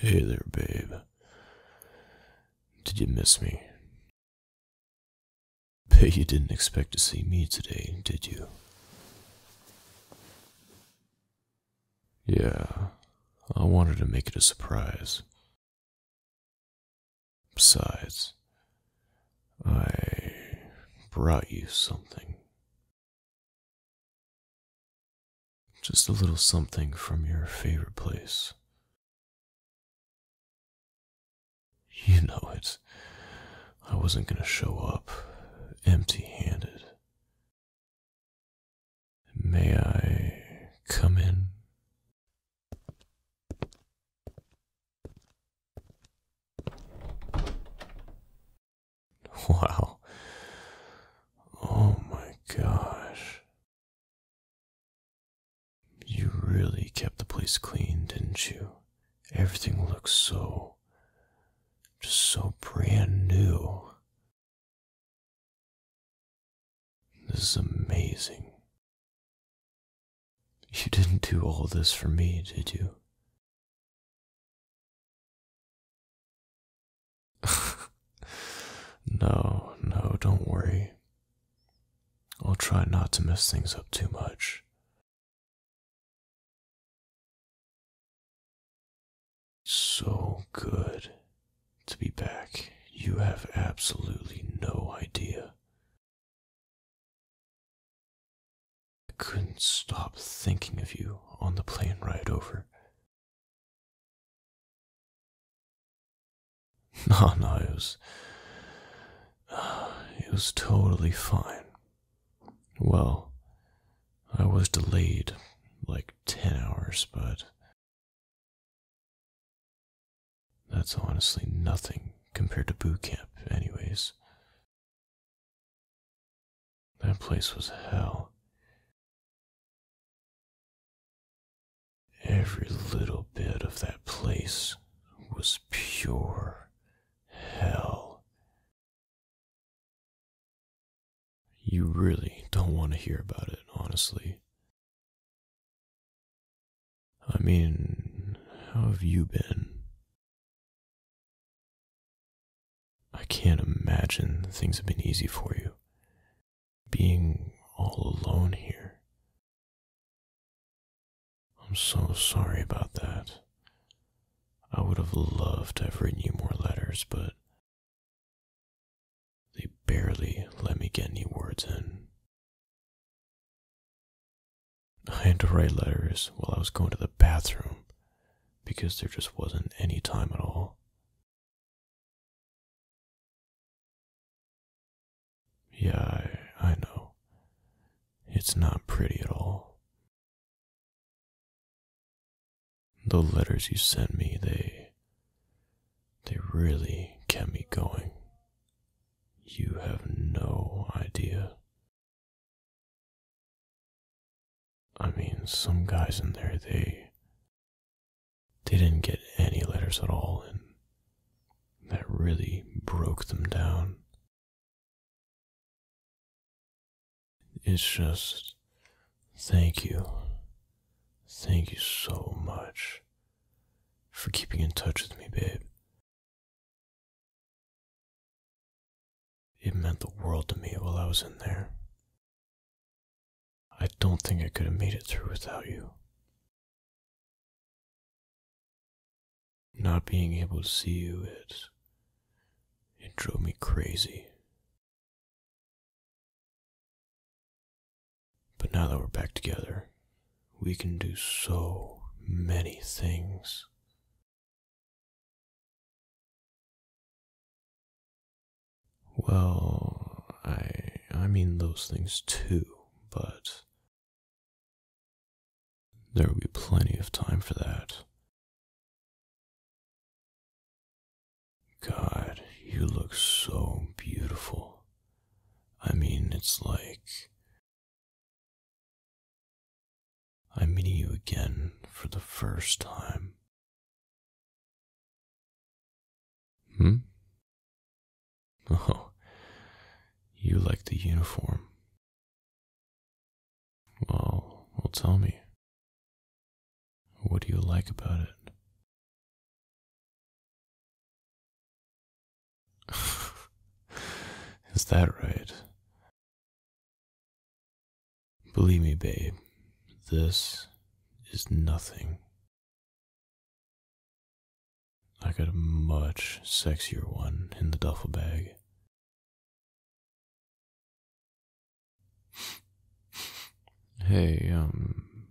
Hey there, babe. Did you miss me? Bet you didn't expect to see me today, did you? Yeah, I wanted to make it a surprise. Besides, I brought you something. Just a little something from your favorite place. You know it. I wasn't going to show up empty handed. May I come in? Wow. Oh my gosh. You really kept the place clean, didn't you? Everything looks so just so brand new. This is amazing. You didn't do all this for me, did you? no, no, don't worry. I'll try not to mess things up too much. So good to be back. You have absolutely no idea. I couldn't stop thinking of you on the plane ride over. No, no, it was. it was totally fine. Well, I was delayed like 10 hours, but that's honestly nothing compared to boot camp, anyways. That place was hell. Every little bit of that place was pure hell. You really don't want to hear about it, honestly. I mean, how have you been? I can't imagine things have been easy for you. Being all alone here. I'm so sorry about that. I would have loved to have written you more letters, but they barely let me get any words in. I had to write letters while I was going to the bathroom because there just wasn't any time at all. Yeah, I, I know. It's not pretty at all. The letters you sent me, they they really kept me going. You have no idea. I mean, some guys in there, they they didn't get any letters at all and that really broke them down. It's just thank you. Thank you so much for keeping in touch with me, babe. It meant the world to me while I was in there. I don't think I could have made it through without you. Not being able to see you, it it drove me crazy. But now that we're back together, we can do so many things. Well, I I mean those things too, but there will be plenty of time for that. God, you look so beautiful. I mean, it's like. I'm meeting you again for the first time. Hmm? Oh, you like the uniform. Well, well, tell me. What do you like about it? Is that right? Believe me, babe, this is nothing. I got a much sexier one in the duffel bag. Hey, um,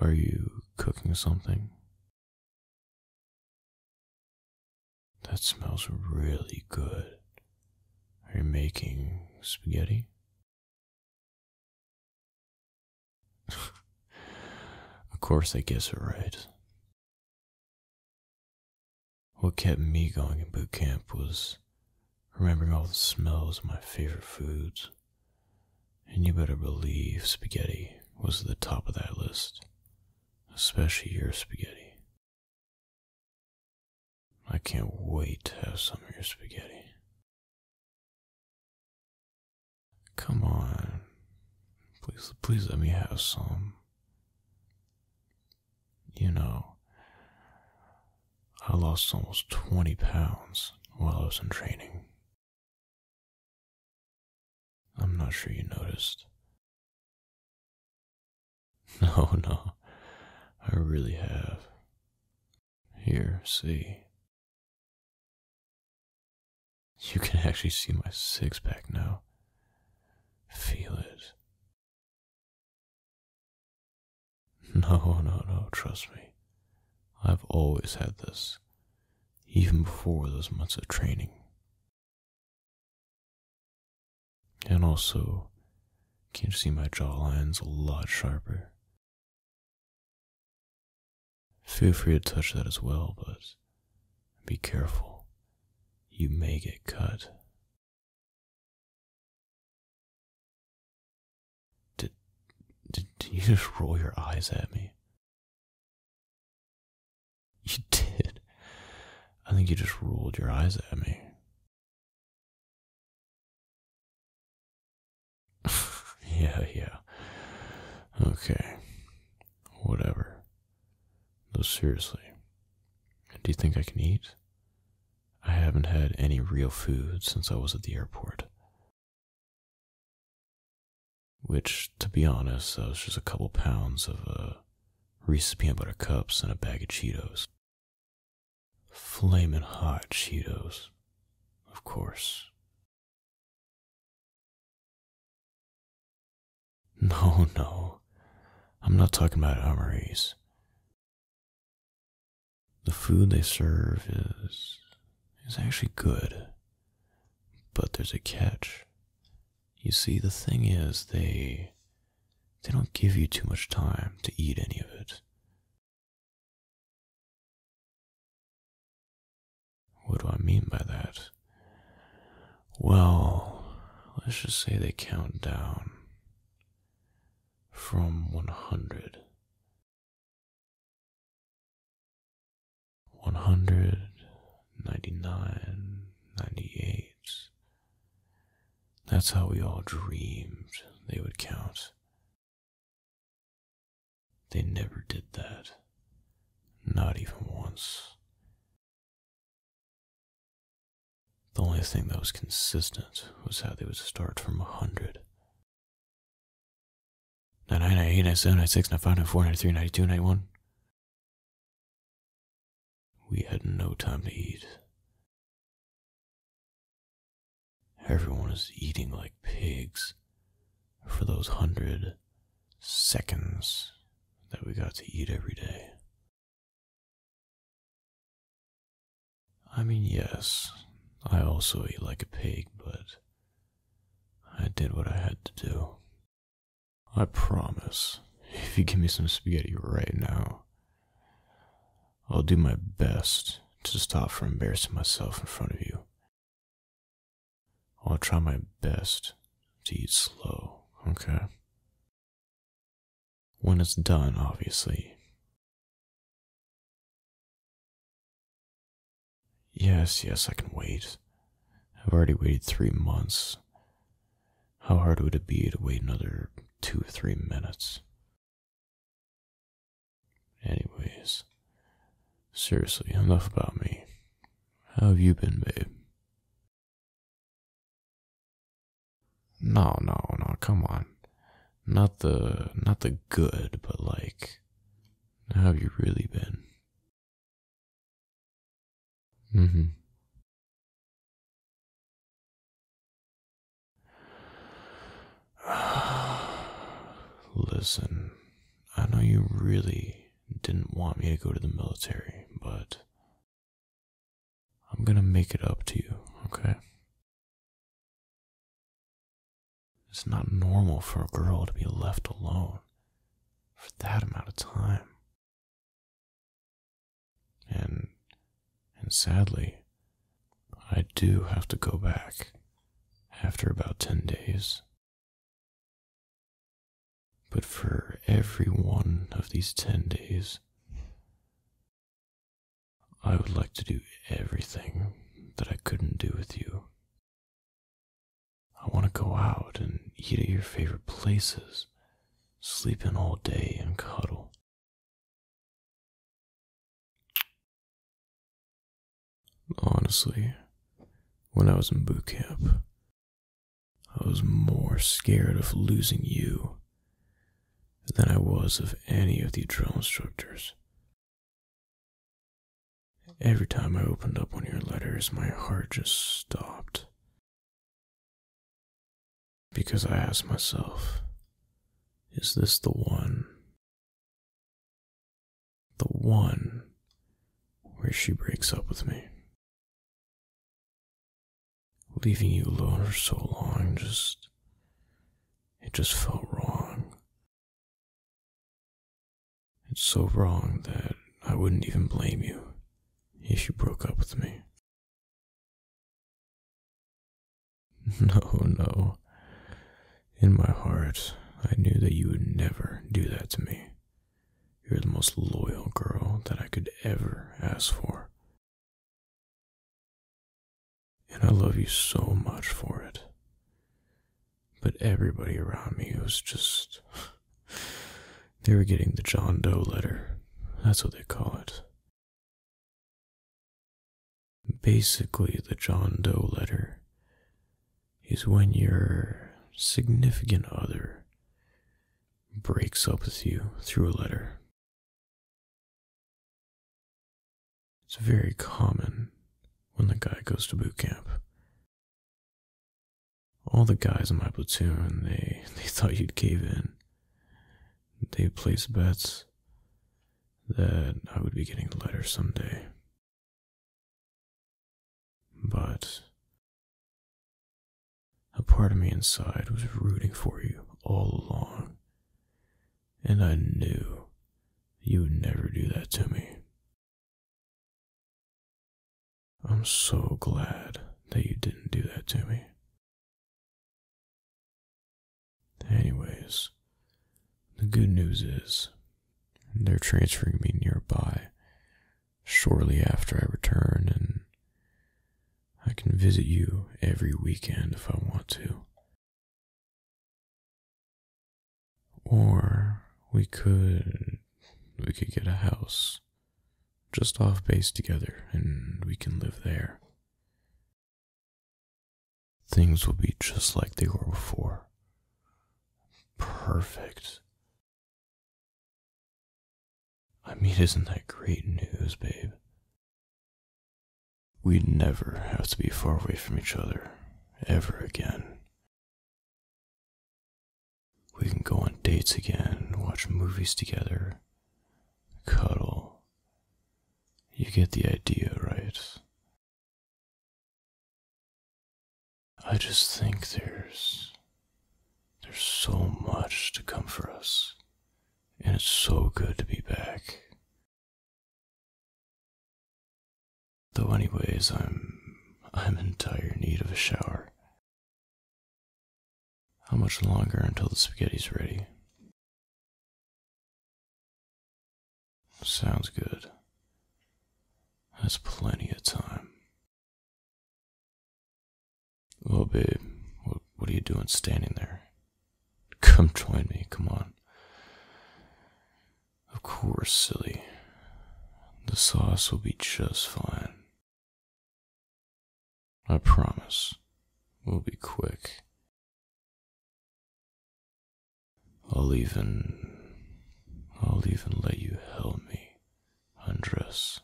are you cooking something? That smells really good. Are you making spaghetti? of course, I guess it right. What kept me going in boot camp was remembering all the smells of my favorite foods. And you better believe spaghetti was at the top of that list, especially your spaghetti. I can't wait to have some of your spaghetti. Come on. Please, please let me have some you know, I lost almost 20 pounds while I was in training. I'm not sure you noticed. No, no, I really have. Here, see. You can actually see my six pack now. Feel it. No, no, no, trust me. I've always had this, even before those months of training. And also, can you see my jawline's a lot sharper? Feel free to touch that as well, but be careful. You may get cut. Did, did, you just roll your eyes at me? You did. I think you just rolled your eyes at me. yeah, yeah. Okay. Whatever. No seriously, do you think I can eat? I haven't had any real food since I was at the airport. Which, to be honest, was just a couple pounds of uh, Reese's peanut butter cups and a bag of Cheetos. flaming hot Cheetos, of course. No, no, I'm not talking about armories. The food they serve is is actually good. But there's a catch. You see, the thing is they they don't give you too much time to eat any of it. What do I mean by that? Well, let's just say they count down from 100. 100, 98. That's how we all dreamed they would count. They never did that. Not even once. The only thing that was consistent was how they would start from 100. 99, 98, 97, 96, 95, 94, 93, 92, 91. We had no time to eat. Everyone was eating like pigs for those hundred seconds that we got to eat every day. I mean, yes, I also eat like a pig, but I did what I had to do. I promise, if you give me some spaghetti right now, I'll do my best to stop from embarrassing myself in front of you. I'll try my best to eat slow, okay? When it's done, obviously. Yes, yes, I can wait. I've already waited three months. How hard would it be to wait another two or three minutes? Anyways, seriously, enough about me. How have you been, babe? No, no, no, come on. Not the not the good, but like how have you really been? Mm-hmm. Listen, I know you really didn't want me to go to the military, but I'm gonna make it up to you, okay? It's not normal for a girl to be left alone for that amount of time. And and sadly, I do have to go back after about 10 days. But for every one of these 10 days, I would like to do everything that I couldn't do with you. I want to go out and eat at your favorite places, sleep in all day and cuddle. Honestly, when I was in boot camp, I was more scared of losing you than I was of any of the drill instructors. Every time I opened up one of your letters, my heart just stopped. Because I asked myself, is this the one? The one where she breaks up with me. Leaving you alone for so long just. It just felt wrong. It's so wrong that I wouldn't even blame you if you broke up with me. No, no. In my heart, I knew that you would never do that to me. You're the most loyal girl that I could ever ask for. And I love you so much for it. But everybody around me was just. they were getting the John Doe letter. That's what they call it. Basically, the John Doe letter is when your significant other breaks up with you through a letter. It's very common when the guy goes to boot camp. All the guys in my platoon, they, they thought you'd cave in. They placed bets that I would be getting a letter someday. But a part of me inside was rooting for you all along, and I knew you would never do that to me. I'm so glad that you didn't do that to me. Anyways, the good news is they're transferring me nearby shortly after I return, and I can visit you every weekend if I want to. Or we could we could get a house just off base together and we can live there. Things will be just like they were before. Perfect. I mean, isn't that great news, babe? We'd never have to be far away from each other, ever again. We can go on dates again, watch movies together, cuddle. You get the idea, right? I just think there's there's so much to come for us, and it's so good to be back. Though anyways, I'm I'm in dire need of a shower. How much longer until the spaghetti's ready? Sounds good. Has plenty of time. Well, oh, babe, what, are you doing standing there? Come join me, come on. Of course, silly. The sauce will be just fine. I promise. We'll be quick. I'll even. I'll even let you help me undress.